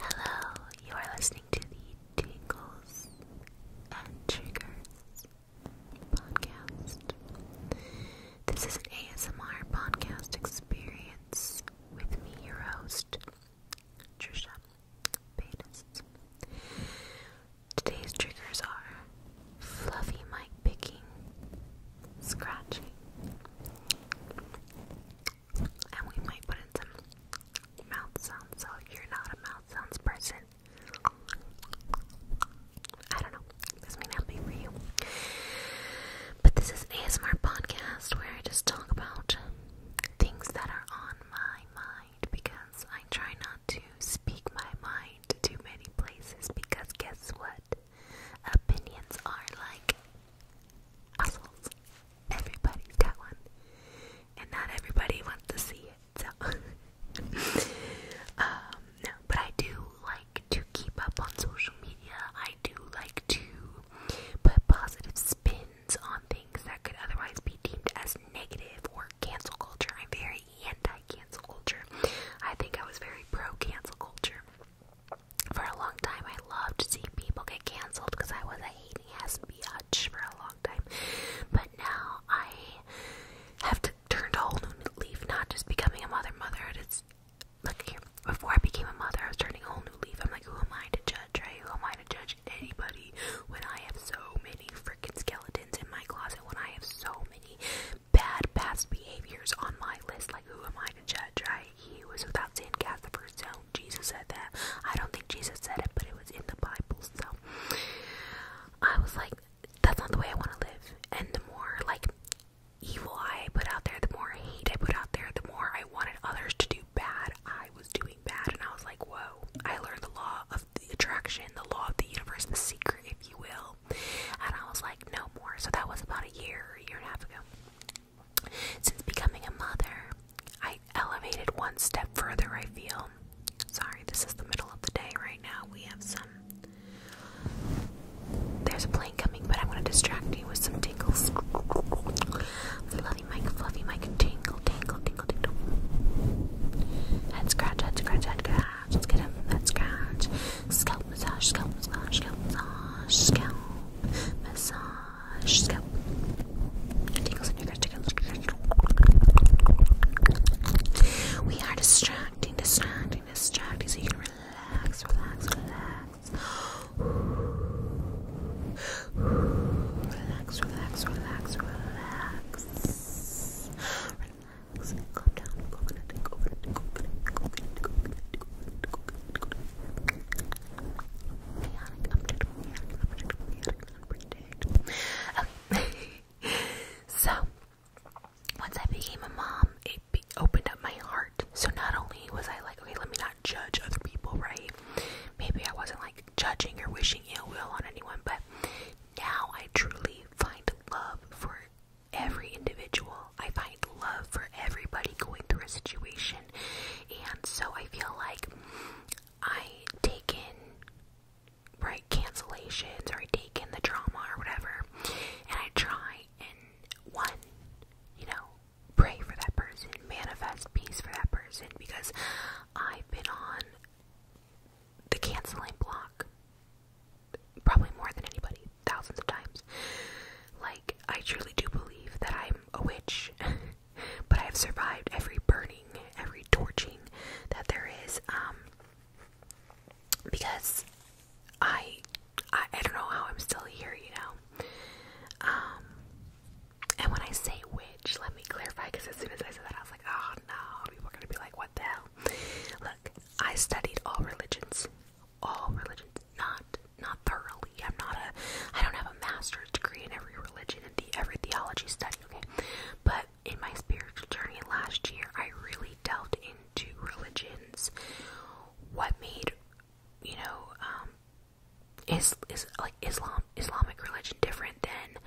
Hello, you are listening to the Tingles and Triggers podcast. This is an ASMR podcast experience with me, your host, Trisha Today's triggers are fluffy mic picking scratchy. And we might put in some mouth sounds, so you're not a mouth sounds person, I don't know, this may not be for you. But this is ASMR podcast where I just talk about things that are on my mind because I try not to speak my mind to many places because guess what? opinions are like assholes. Everybody's got one, and not everybody wants to see it. um, but I do like to keep up on social media. I do like to put positive spins on things that could otherwise be deemed as negative or cancel culture. I'm very anti cancel culture. I think I was very pro cancel culture for a long time, I loved seeing people get canceled because I was a hating ass biatch for a long time. But now I have to turn to a whole new leaf, not just becoming a mother. mother. It's look here. Before I became a mother, I was turning a whole new leaf. I'm like, who am I to judge? Right? Who am I to judge anybody when I have so many freaking skeletons in my closet? When I have so many bad past behaviors on my list? Like, who am I to judge? Right? He was without sin cast the first stone. Jesus said that. I don't think Jesus said it, but it was in the Bible. So I was like, that's not the way I want to live. And the more like evil I put out there, the more hate I put out there, the more I wanted others to do bad. I was doing bad, and I was like, whoa. I learned the law of attraction, the law of the universe, the secret, if you will. And I was like, no more. So that was about a year, a year and a half ago. Since becoming a mother, I elevated one step further, I feel. Sorry, this is the middle of the day right now. We have some. There's a plane coming, but I want to distract you with some tingles. Fluffy Mike, Fluffy Mike, tingle, tingle, tingle, tingle. Head scratch, head scratch, head scratch. Let's get him, head scratch. Scalp massage, scalp massage, scalp massage, scalp massage, scalp. Tingles in your gut, tingles in your gut. We are distracting, distracting, distracting, so you can relax, relax, relax. Relax, relax, relax, relax. Relax. Calm down. Coconut, coconut, coconut, coconut, coconut, coconut, coconut, coconut. so, once I became a mom, it opened up my heart. So, not only was I like, okay, let me not judge other people, right? Maybe I wasn't like judging or wishing ill will on anyone, but now I truly find love for every individual. I find love for everybody going through a situation. And so I feel like I take in, right, cancellations or I take in the drama or whatever. And I try and, one, you know, pray for that person, manifest peace for that person because I've been on the canceling block probably more than anybody thousands of times. Like, I truly do believe that I'm a witch, but I've survived every burning, every torching that there is, um, because I, I, don't know how I'm still here, you know? Um, and when I say witch, let me clarify, because as soon as I said that, I was like, oh no, people are gonna be like, what the hell? Look, I studied all religions, all religions, not not thoroughly. I'm not a I don't have a master's degree in every religion and the every theology study, okay? But in my spiritual journey last year I really delved into religions. What made you know, um is is like Islam Islamic religion different than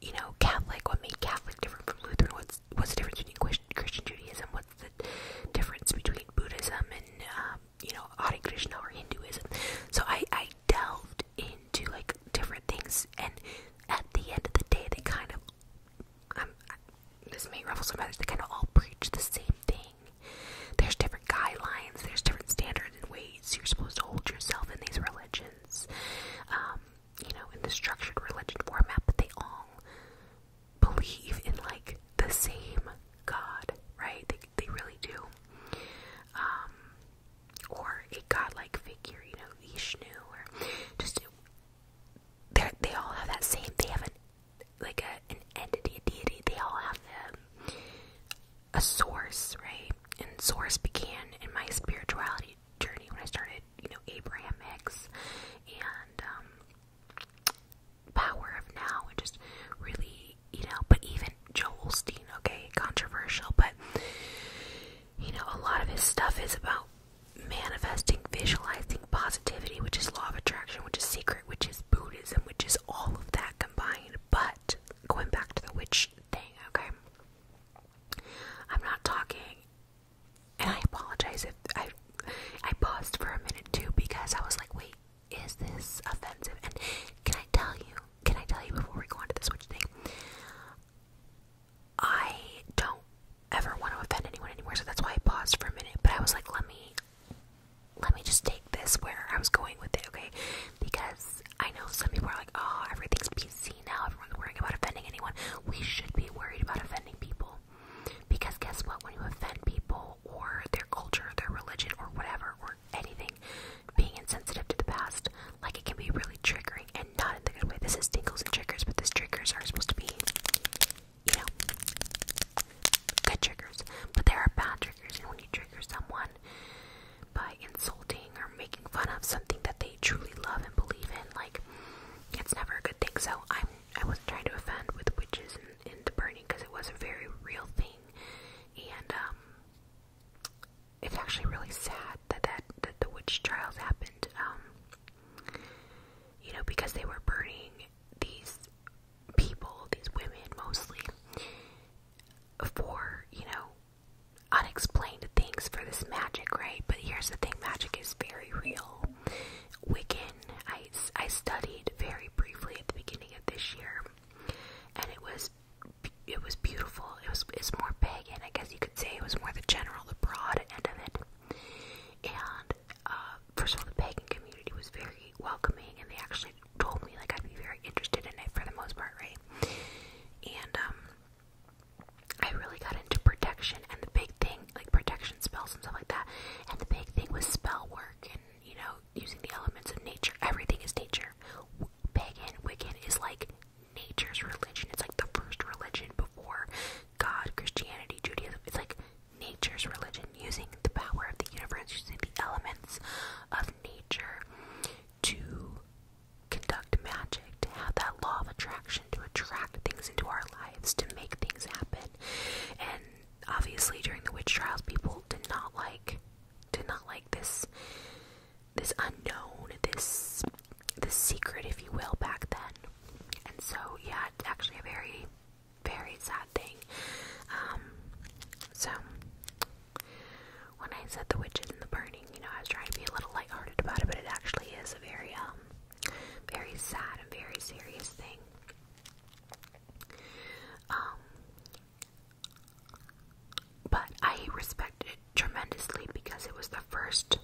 you know Catholic? What made Catholic different from Lutheran? What's what's the difference between Christian Judaism? What the difference between Buddhism and um, you know Hare Krishna or Hinduism. So I I delved into like different things, and at the end of the day, they kind of um this may ruffle some feathers. They kind of all preach the same thing. There's different guidelines. There's different standards and ways you're supposed to hold yourself in these religions. Um, you know, in the structured religion format, but they all believe in like the same God, right? They they really do. Um, or a God-like figure, you know, Vishnu, or just they they all have that same. They have a like a an entity, a deity. They all have the, a source, right? And source began in my spirituality journey when I started, you know, Abraham Hicks and um, power of now and just really, you know, but even Joel Olstein, okay, controversial, but you know, a lot of his stuff is about manifesting, visualizing positivity, which is law of attraction, which is secret, which is Buddhism, which is all of that combined. But going back to the witch thing, okay, I'm not talking, and I apologize if I I paused for a minute too because I was like, wait, is this offensive? And can I tell you, can I tell you before we go on to the Switch thing? I don't ever want to offend anyone anymore, so that's why I paused for a minute. But I was like, let me let me just take this where I was going with it, okay? Because I know some people are like, oh, everything's PC now, everyone's worrying about offending anyone. We should be worried about offending people people. Because guess what? When you offend people or their culture, their religion, or whatever, or anything, being insensitive to the past, like it can be really triggering and not in the good way. This is tingles and triggers, but these triggers are supposed to be, you know, good triggers. But there are bad triggers, and when you trigger someone by insulting or making fun of something that they truly love and believe in, like, it's never a good thing. So I'm I wasn't trying to offend with witches and, and the burning because it was a very real thing, and um, it's actually really sad that that, that the witch trials happened. Um, you know, because they were burning these people, these women mostly, for you know unexplained things for this magic, right? But here's the thing: magic is very real. Wiccan. I, I studied very briefly at the beginning of this year, and it was it was beautiful. It was it's more pagan, I guess you could say. It was more the general, the broad end of it. And uh, first of all, the pagan community was very welcoming, and they actually told me like I'd be very interested in it for the most part, right? And um, I really got into protection and the big thing like protection spells and stuff like that and the big thing was spell work and you know using the elements of nature everything is nature pagan wiccan is like nature's religion it's like the first religion before god christianity judaism it's like nature's religion using the power of the universe using the elements of nature to conduct magic to have that law of attraction to attract things into our lives to make things happen and obviously during the witch trials people did not like did not like this this unknown this this secret if you will back then and so yeah it's actually a very very sad thing um so when i said the witches and the burning you know i was trying to be a little lighthearted about it but it actually is a very um very sad and very serious thing um, but I respect it tremendously because it was the first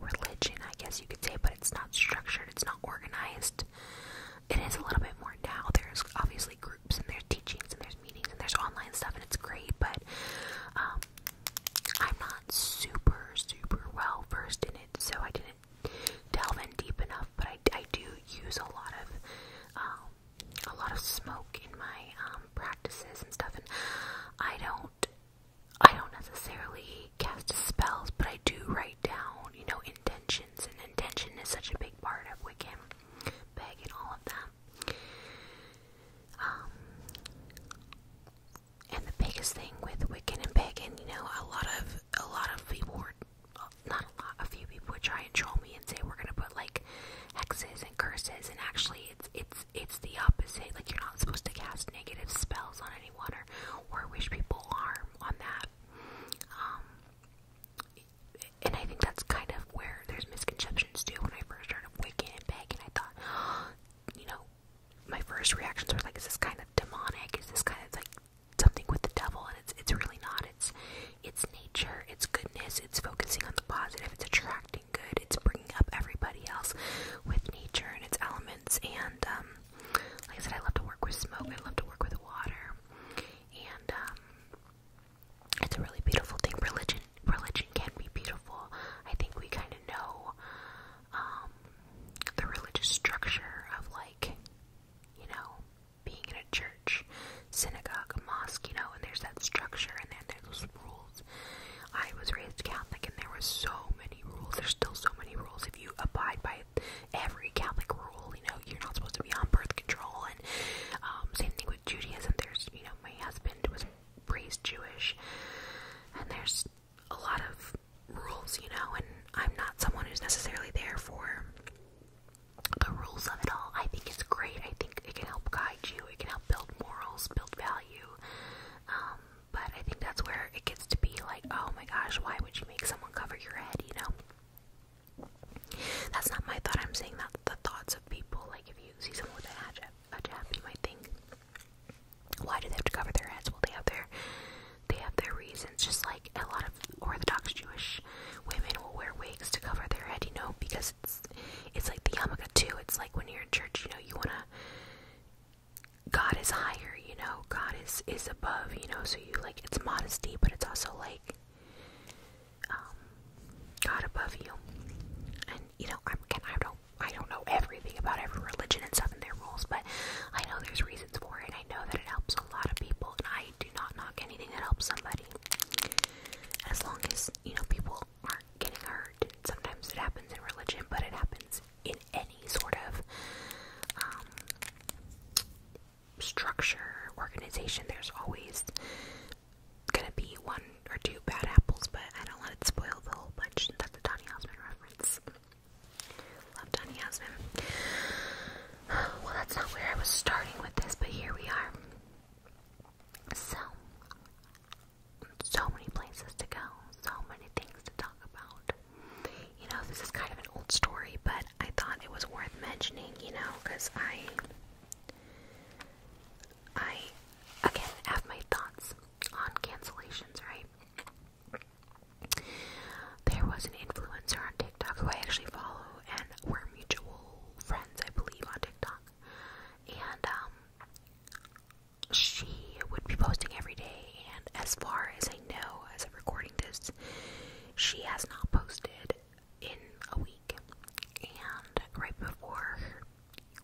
religion, I guess you could say, but it's not structured, it's not organized. It is a little bit more now. There's obviously groups and there's teachings and there's meetings and there's online stuff and it's great, but um, I'm not super, super well versed in it, so I didn't delve in deep enough, but I, do use a lot of um, a lot of smoke in my um, practices and stuff, and I don't I don't necessarily cast spells, but I do write down you know intentions, and intention is such a big part of Wiccan, Peg, all of that. Um, and the biggest thing with Wiccan and Pagan, you know, a lot of a lot of people not a lot, a few people would try and troll me and say we're gonna put like hexes and curses, and actually it's it's it's the opposite. Like you're not supposed to cast negative spells on anyone or or wish people harm on that. Um, and I think that's kind of where there's misconceptions too. When I first started Wiccan and Pagan, I thought, you know, my first reactions were like, is this kind of demonic? Is this kind of like something with the devil? And it's it's really not. It's it's nature. It's goodness. It's focusing on the positive. It's attracting good. It's bringing up everybody else with nature and its elements. And um, like I said, I love to work with smoke. I love to work with water. And um, it's a really beautiful thing. Religion religion can be beautiful. I think we kind of know um, the religious structure of like you know being in a church synagogue a mosque you know and there's that structure and then there's those rules i was raised catholic and there were so many rules there's still so many rules if you abide by every catholic rule you know you're not supposed to be on birth control and um, same thing with judaism there's you know my husband was raised jewish and there's a lot of rules, you know, and I'm not someone who's necessarily there for the rules of it all. I think it's great. I think it can help guide you, it can help build morals, build value. Um, but I think that's where it gets to be like, oh my gosh, why would you make someone cover your head, you know? That's not my thought. I'm saying that's the thoughts of people. Like, if you see someone with a hatchet, a jab, you might think, why do they have to cover their heads? Well, they have their they have their reasons. Just like a lot of Orthodox Jewish women will wear wigs to cover their head, you know, because it's it's like the yarmulke too. It's like when you're in church, you know, you wanna God is higher, you know. God is is above, you know. So you like it's modesty, but it's also like um, God above you. And you know, i again, I don't I don't know everything about every religion and stuff and their rules, but I know there's reasons for it. I know that it helps a lot of people, and I do not knock anything that helps somebody. As long as, you know, people aren't getting hurt. Sometimes it happens in religion, but it happens in any sort of um, structure, organization. There's always gonna be one or two bad apples, but I don't let it spoil the whole bunch. That's a Donny Osmond reference. Love Donny Yasmin. Well, that's not where I was starting with this, but here we are. So, so many places to go, so many things to talk about. You know, this is kind of an old story, but I thought it was worth mentioning, you know, because I. I. Again, have my thoughts on cancellations, right? There was an influencer on TikTok who I actually follow, and we're mutual friends, I believe, on TikTok. And um, she would be posting every day, and as far as I know, as of recording this, she has not posted in a week. And right before her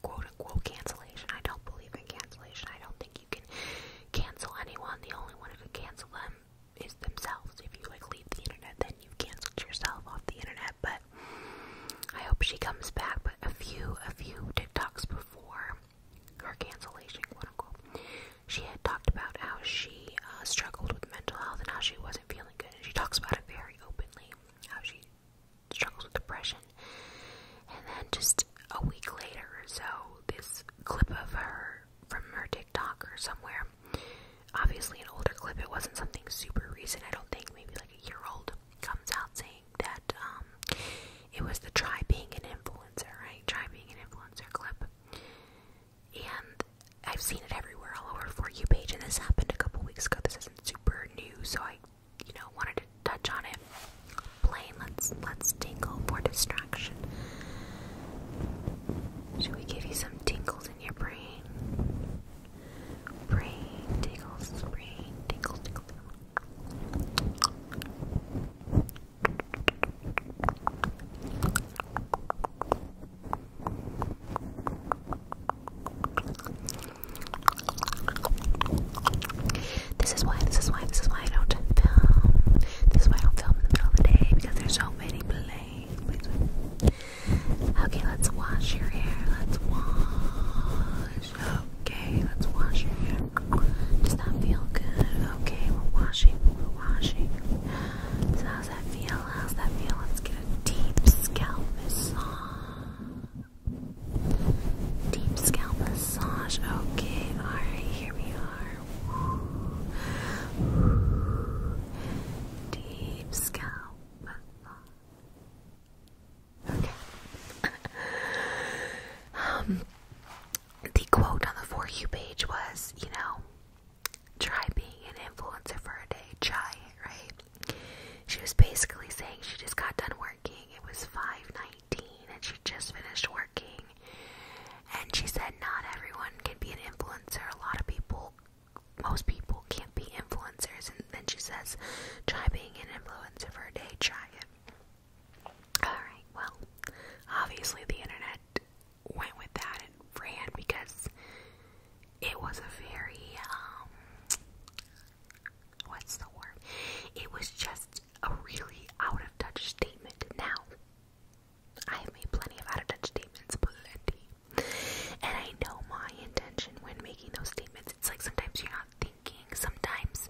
quote unquote cancellation, I don't believe in cancellation, I don't think you can cancel anyone. The only one who could cancel them is themselves. If you like leave the internet, then you canceled yourself off the internet. But I hope she comes back. But a few, a few TikToks before her cancellation, quote unquote, she had talked about how she uh, struggled with mental health and how she wasn't feeling good. And she talks about it very openly, how she struggles with depression and then just a week later or so, this clip of her from her TikTok or somewhere. Obviously, an older clip, it wasn't something super recent, I don't think, maybe like a year old, comes out saying that um, it was the try being an influencer, right? Try being an influencer clip. And I've seen it everywhere all over For You page, and this happened a couple weeks ago. This isn't super new, so I, you know, wanted touch on it. Plane, let's let's tingle for distraction. Should we give you some tingles in your brain? Brain tingles, brain tingles. This is why, this is why, this is why I don't film. This is why I don't film in the middle of the day because there's so many planes. Okay, let's wash your hair. Let's wash. Okay, let's wash your hair. Does that feel good? Okay, we're washing, we're washing. So how's that feel? How's that feel? Let's get a deep scalp massage. Deep scalp massage. Okay, alright, here we are. Deep scalp Okay. um, the quote on the For You page was, you know, try being an influencer for a day. Try it, right? She was basically saying she just got done working. It was five nine. 19 and she just finished working. And she said, Not everyone can be an influencer. A lot of people, most people, can't be influencers. And then she says, Try being an influencer for a day, try it. Alright, well, obviously the internet went with that and ran because it was a very, um, what's the word? It was just a really out of touch statement. Now, I have made plenty of out of touch statements, plenty. And I know my intention when making those statements. It's like sometimes you're not thinking, sometimes,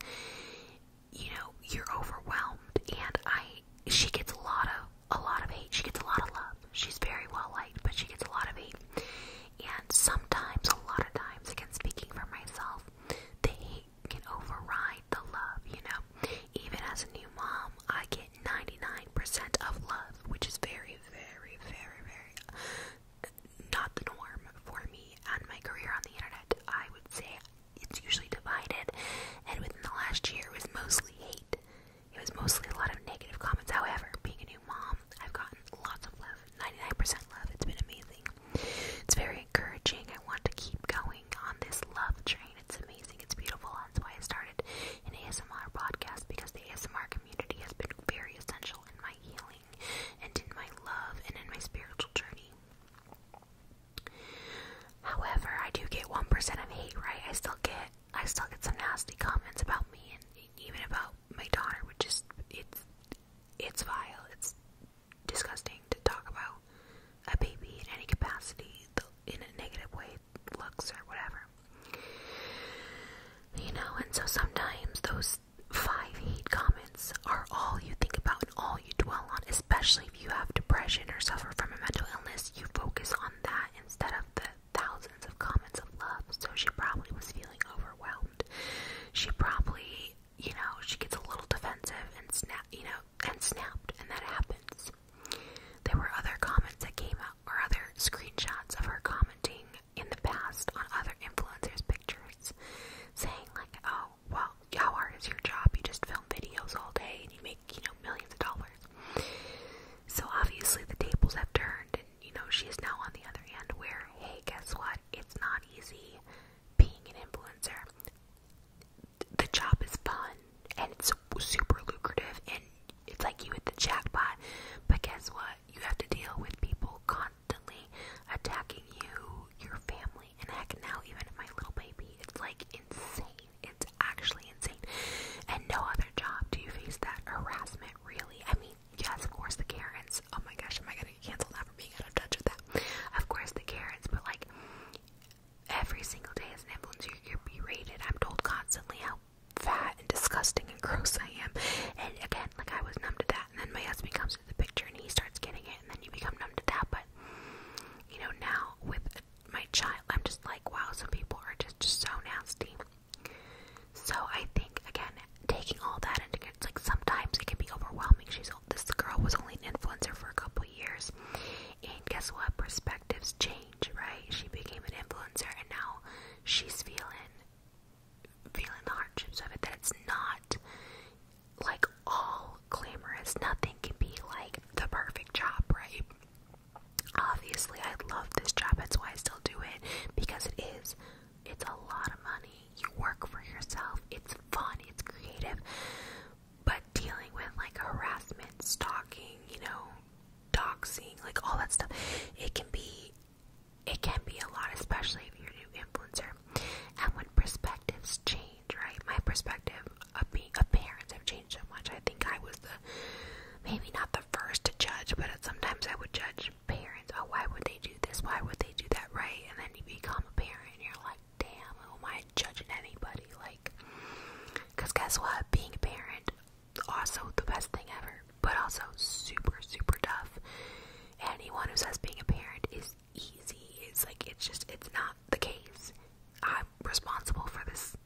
you know, you're overwhelmed. And I, she gets a lot of, a lot of hate. She gets a lot of love. She's very well liked, but she gets a lot of hate. And sometimes, a lot of times, again, speaking for myself, the hate can override like the love, you know. Even as a new mom, I get 99% of love, which is very, very, very, very not the norm for me and my career on the internet. I would say it's usually divided, and within the last year, it was mostly hate. It was mostly a lot of negative comments. However, being a new mom, I've gotten lots of love 99% love. It's been amazing. It's very encouraging. I want to keep going on this love train. It's amazing. It's beautiful. That's why I started an ASMR podcast because the ASMR community has been very essential in my healing and in my love and in my spiritual journey. However, I do get 1% of hate, right? I still get I still get some nasty comments about me and even about my daughter, which is it's it's vile. It's disgusting to talk about a baby in any capacity in a negative way, looks or whatever. You know, and so sometimes those five hate comments are all you think about and all you dwell on, especially if you have depression or suffer from a mental illness. You focus on that instead of the thousands of comments of love. So she probably was feeling overwhelmed. She probably you know, she gets a little defensive and snap, you know, and snapped, and that happens. There were other comments that came out, or other screenshots of her commenting in the past on other influencers' pictures, saying like, "Oh, well, how hard is your job? You just film videos all day and you make, you know, millions of dollars." So obviously the tables have turned, and you know she is now on the other end, where hey, guess what? It's not easy being an influencer. The job is fun and it's super lucrative and it's like you hit the jackpot. But guess what? You have to deal with people constantly attacking you, your family, and heck, now even my little baby. It's like insane. It's actually insane. And no other job do you face that harassment, really. I mean, yes, of course, the Karens. Oh my gosh, am I gonna cancel that? ever out of touch with that. Of course, the carrots, but like every single day as an influencer, you're berated. I'm told constantly how fat and disgusting and gross I am. And again, like I was numb to that. And then my husband comes into the picture and he starts getting it, and then you become numb to that. But you know, now with my child, I'm just like, wow, some people are just, just so nasty. So I think again, taking all that into it's like sometimes it can be overwhelming. She's this girl was only an influencer for a couple years, and guess what? Perspectives change, right? She became an influencer, and now she's feeling feeling the hardships of it. That it's not like all glamorous. Nothing can be like the perfect job, right? Obviously, I love this job. That's why I still do it because it is. It's a lot of money. You work for yourself. It's fun. It's creative. But dealing with like harassment, stalking, you know, doxing, like all that stuff, it can be it can be a lot, especially if you're a new influencer. And when perspectives change, right? My perspective of being of parents have changed so much. I think I was the maybe not the first to judge, but sometimes I would judge parents. Oh, why would they do this? Why would they do that? Right? And then you become a parent, and you're like, damn, who am I judging anybody? Like, because guess what? Being a parent, also the best thing ever, but also super, super tough. Anyone who says being a parent is easy, it's like, it's just, it's not the case. I'm responsible for this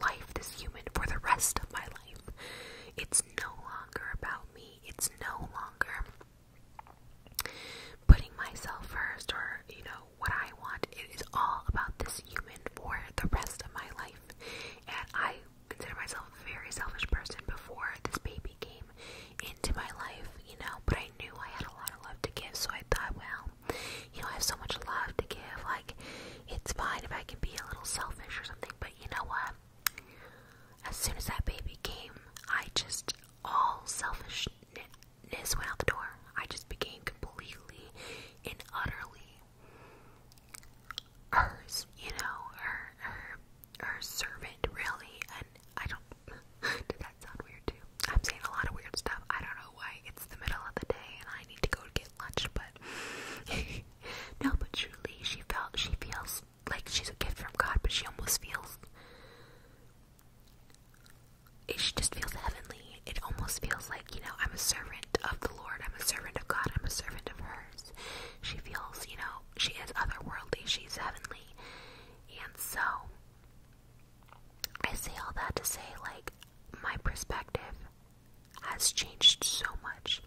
life, this human, for the rest of my life. It's no longer about me, it's no longer putting myself first or, you know, what I want. It is all about this human for the rest of my life. And I consider myself a very selfish person before this baby came into my life, you know, but I knew I had a lot of love to give, so I thought, well, you know, I have so much love to give, like, it's fine if I can be a little selfish or something, but you know what? As soon as that baby came, I just, all selfishness went out the door. I just became completely and utterly hers, you know, her her her servant really and I don't did that sound weird too? I'm saying a lot of weird stuff. I don't know why. It's the middle of the day and I need to go get lunch but no but truly she felt she feels like she's a gift from God, but she almost feels she just feels heavenly. It almost feels like, you know, I'm a servant of the Lord, I'm a servant of God, I'm a servant of hers. She feels, you know, she is otherworldly, she's heavenly. And so I say all that to say, like, my perspective has changed so much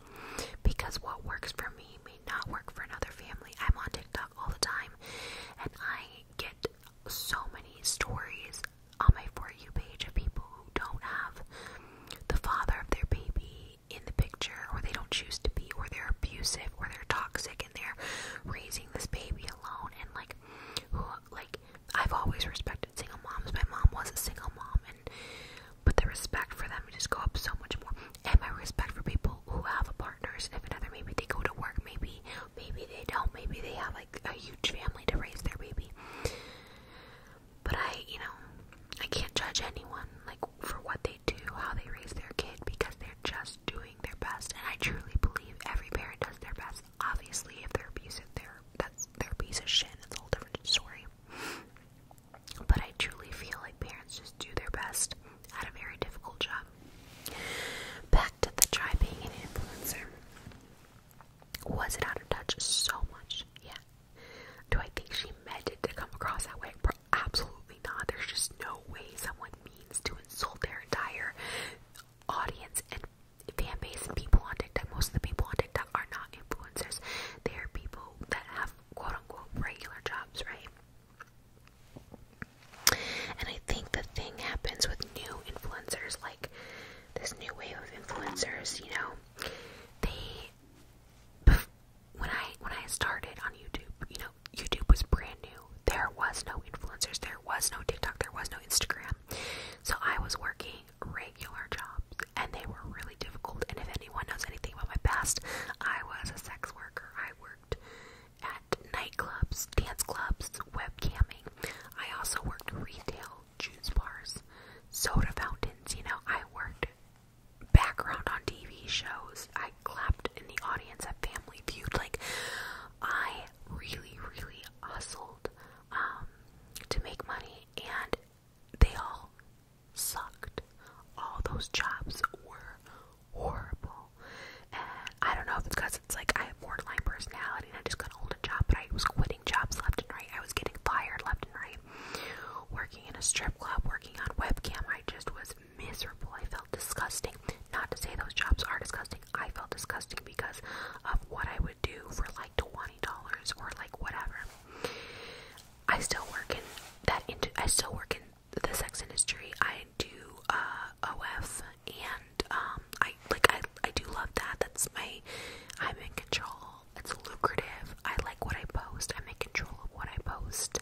because what works for me may not work for another family. I'm on TikTok all the time, and I get so many stories on my For You page of people who don't have the father of their baby in the picture, or they don't choose to be, or they're abusive, or they're toxic, and they're raising this baby alone. And like, who, like, I've always respected single moms. My mom was a single mom, and but the respect for them just go up so much more. And my respect for people people who have partners, if another maybe they go to work, maybe maybe they don't, maybe they have like a huge family to raise their baby. But I, you know, I can't judge anyone like for what they do, how they raise their kid, because they're just doing their best. And I truly believe every parent does their best. Obviously, if they're abusive, they're that's their piece of shit. That's a whole different story. But I truly feel like parents just do their best at a very difficult job. Back to the try being an influencer. Was it out of touch so much? Yeah. Do I think she meant it to come across that way? Absolutely not. There's just no way someone means to insult their entire audience and fan base and people on TikTok. Most of the people on TikTok are not influencers. They are people that have quote unquote regular jobs, right? And I think the thing happens with new influencers, like this new wave of influencers, you know, they when I when I started on YouTube, you know, YouTube was brand new. There was no influencers, there was no TikTok, there was no Instagram. So I was working regular jobs and they were really difficult. And if anyone knows anything about my past, I was a sex worker. I worked at nightclubs, dance clubs, webcamming. I also worked retail, juice bars, soda fountains. You know, I worked background on TV shows. I clapped in the audience at Family Feud. Like, I really, really hustled um, to make money, and they all sucked. All those jobs were horrible. And I don't know if it's because it's like I have borderline personality and I just got an older job, but I was quitting jobs left and right. I was getting fired left and right. Working in a strip club, working on webcam, I just was miserable. I felt disgusting. Not to say those jobs are disgusting. I felt disgusting because of what I would do for like twenty dollars or like whatever. I still work in that. Into, I still work in the sex industry. I do uh, OF, and um, I like I I do love that. That's my I'm in control. It's lucrative. I like what I post. I'm in control of what I post.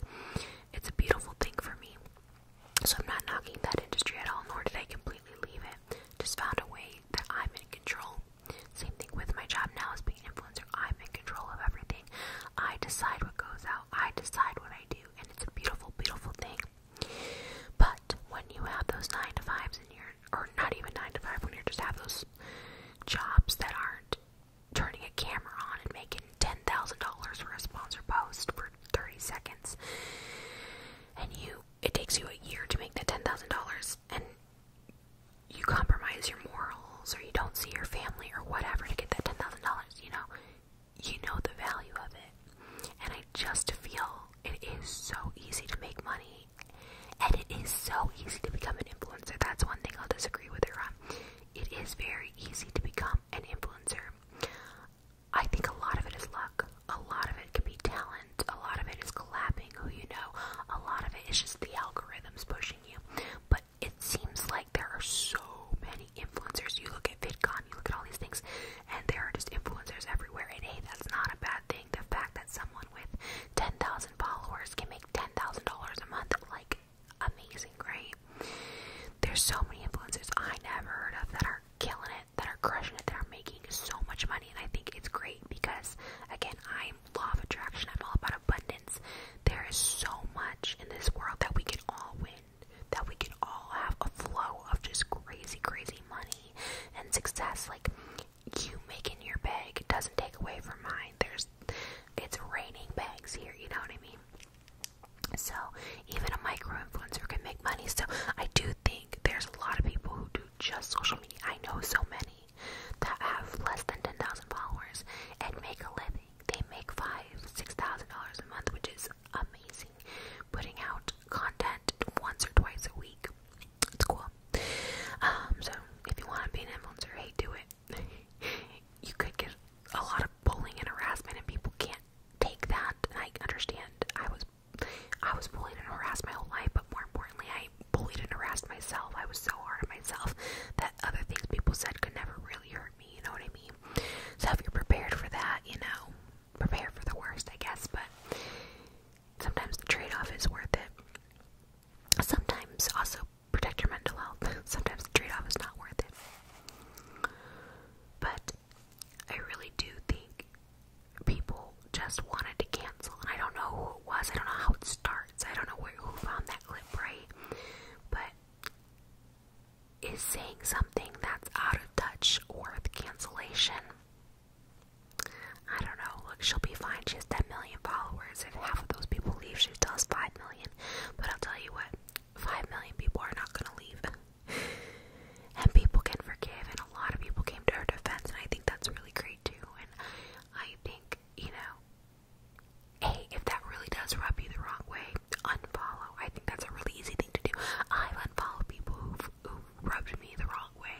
It's a beautiful thing for me. So I'm not knocking that industry at all, nor did I completely leave it. Just found a way that I'm in control. Same thing with my job now as being an influencer. I'm in control of everything. I decide what goes out. I decide what I. I do, and it's a beautiful, beautiful thing. But when you have those nine to fives in your, or not even nine to five, when you just have those jobs that aren't turning a camera on and making ten thousand dollars for a sponsor post for thirty seconds, and you, it takes you a year to make that ten thousand dollars, and you compromise your morals, or you don't see your family, or whatever to get that ten thousand dollars. You know, you know the value of it. And I just feel it is so easy to make money and it is so easy to become an influencer. That's one thing I'll disagree with her on. It is very easy to become an influencer. I think a lot of it is luck. A lot of it can be talent. A lot of it is collabing who you know. A lot of it is just the algorithms pushing you. But it seems like there are so many influencers. You look at VidCon, you look at all these things, and there are just influencers everywhere. And hey, that's not a bad thing. The fact that someone with 10,000 followers can make $10,000 a month, like, amazing, great. There's so many influencers I never heard of that are killing it, that are crushing it, that are making so much money. And I think it's great because, again, I'm law of attraction, I'm all about abundance. There is so much in this world that we can all win that we can all have a flow of just crazy, crazy money and success. Like you making your bag doesn't take away from mine. There's it's raining bags here, you know what I mean? So even a micro influencer can make money. So I do think there's a lot of people who do just social media. I know so many that have less than ten thousand followers and make a living. They make five, six thousand dollars a month, which is amazing. Putting out content once or twice a week, it's cool. Um, so if you want to be an influencer, hey, do it. you could get a lot of bullying and harassment, and people can't take that. And I understand. I was, I was bullied and harassed my whole life, but more importantly, I bullied and harassed myself. I was so hard on myself that other things people said could never really hurt you know what I mean? So if you're prepared for that, you know, prepare for the worst, I guess, but sometimes the trade off is worth it. Sometimes also protect your mental health. Sometimes the trade off is not worth it. But I really do think people just wanted to cancel, and I don't know who it was. I don't know how it starts. I don't know where, who found that clip, right? But is saying something that's out of touch or with cancellation. I don't know. Look, she'll be fine. She has 10 million followers. and half of those people leave, she still 5 million. But I'll tell you what, 5 million people are not going to leave. and people can forgive, and a lot of people came to her defense, and I think that's really great too. And I think, you know, hey, if that really does rub you the wrong way, unfollow. I think that's a really easy thing to do. I've unfollowed people who've, rubbed me the wrong way.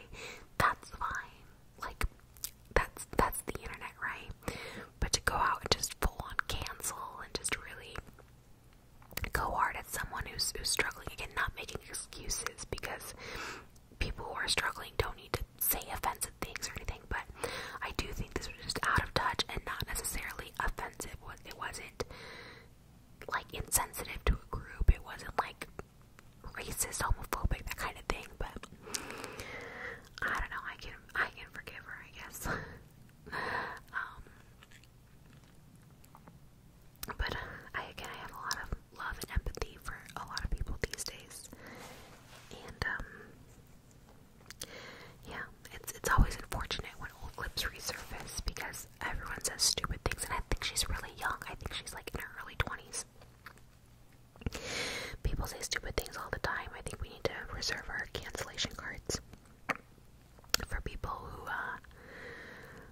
That's fine. Like, that's that's the internet, right? But to go out and just full on cancel and just really go hard at someone who's who's struggling again, not making excuses because people who are struggling don't need to say offensive things or anything anything, but I do think this was just out of touch and not necessarily offensive. It wasn't like insensitive to a group, it wasn't like racist, homophobic, that kind of thing, but I don't know, I can I can forgive her, I guess. um but I again I have a lot of love and empathy for a lot of people these days. And um yeah, it's it's always unfortunate when old clips resurface because everyone says stupid things, and I think she's really young. I think she's like in her early twenties. People say stupid things all the time. I think we need to reserve our cancellation cards for people who uh,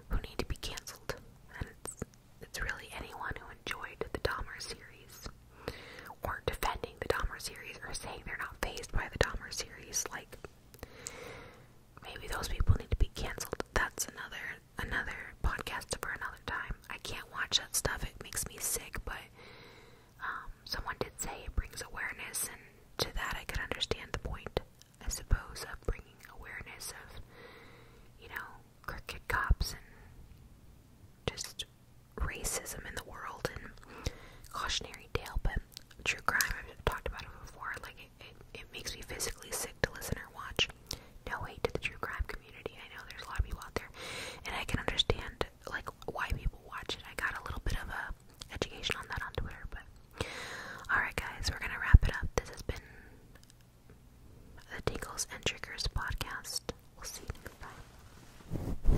who need to be canceled, and it's it's really anyone who enjoyed the Dahmer series or defending the Dahmer series or saying they're not phased by the Dahmer series. Like maybe those people need to be canceled. That's another another podcast for another time. I can't watch that stuff. It makes me sick, but um, someone did say it brings awareness, and to that I could understand the point, I suppose, of bringing awareness of, you know, crooked cops and just racism in the world and cautionary tale, but true crime, I've talked about it before, like it, it, makes me physically sick to listen or watch. No hate to the true crime community. I know there's a lot of people out there, and I can understand like why people watch it. I got a little bit of a education on that on Twitter, but all right, guys, we're gonna wrap it up. This has been the Tingles and Triggers podcast. We'll see you. next time.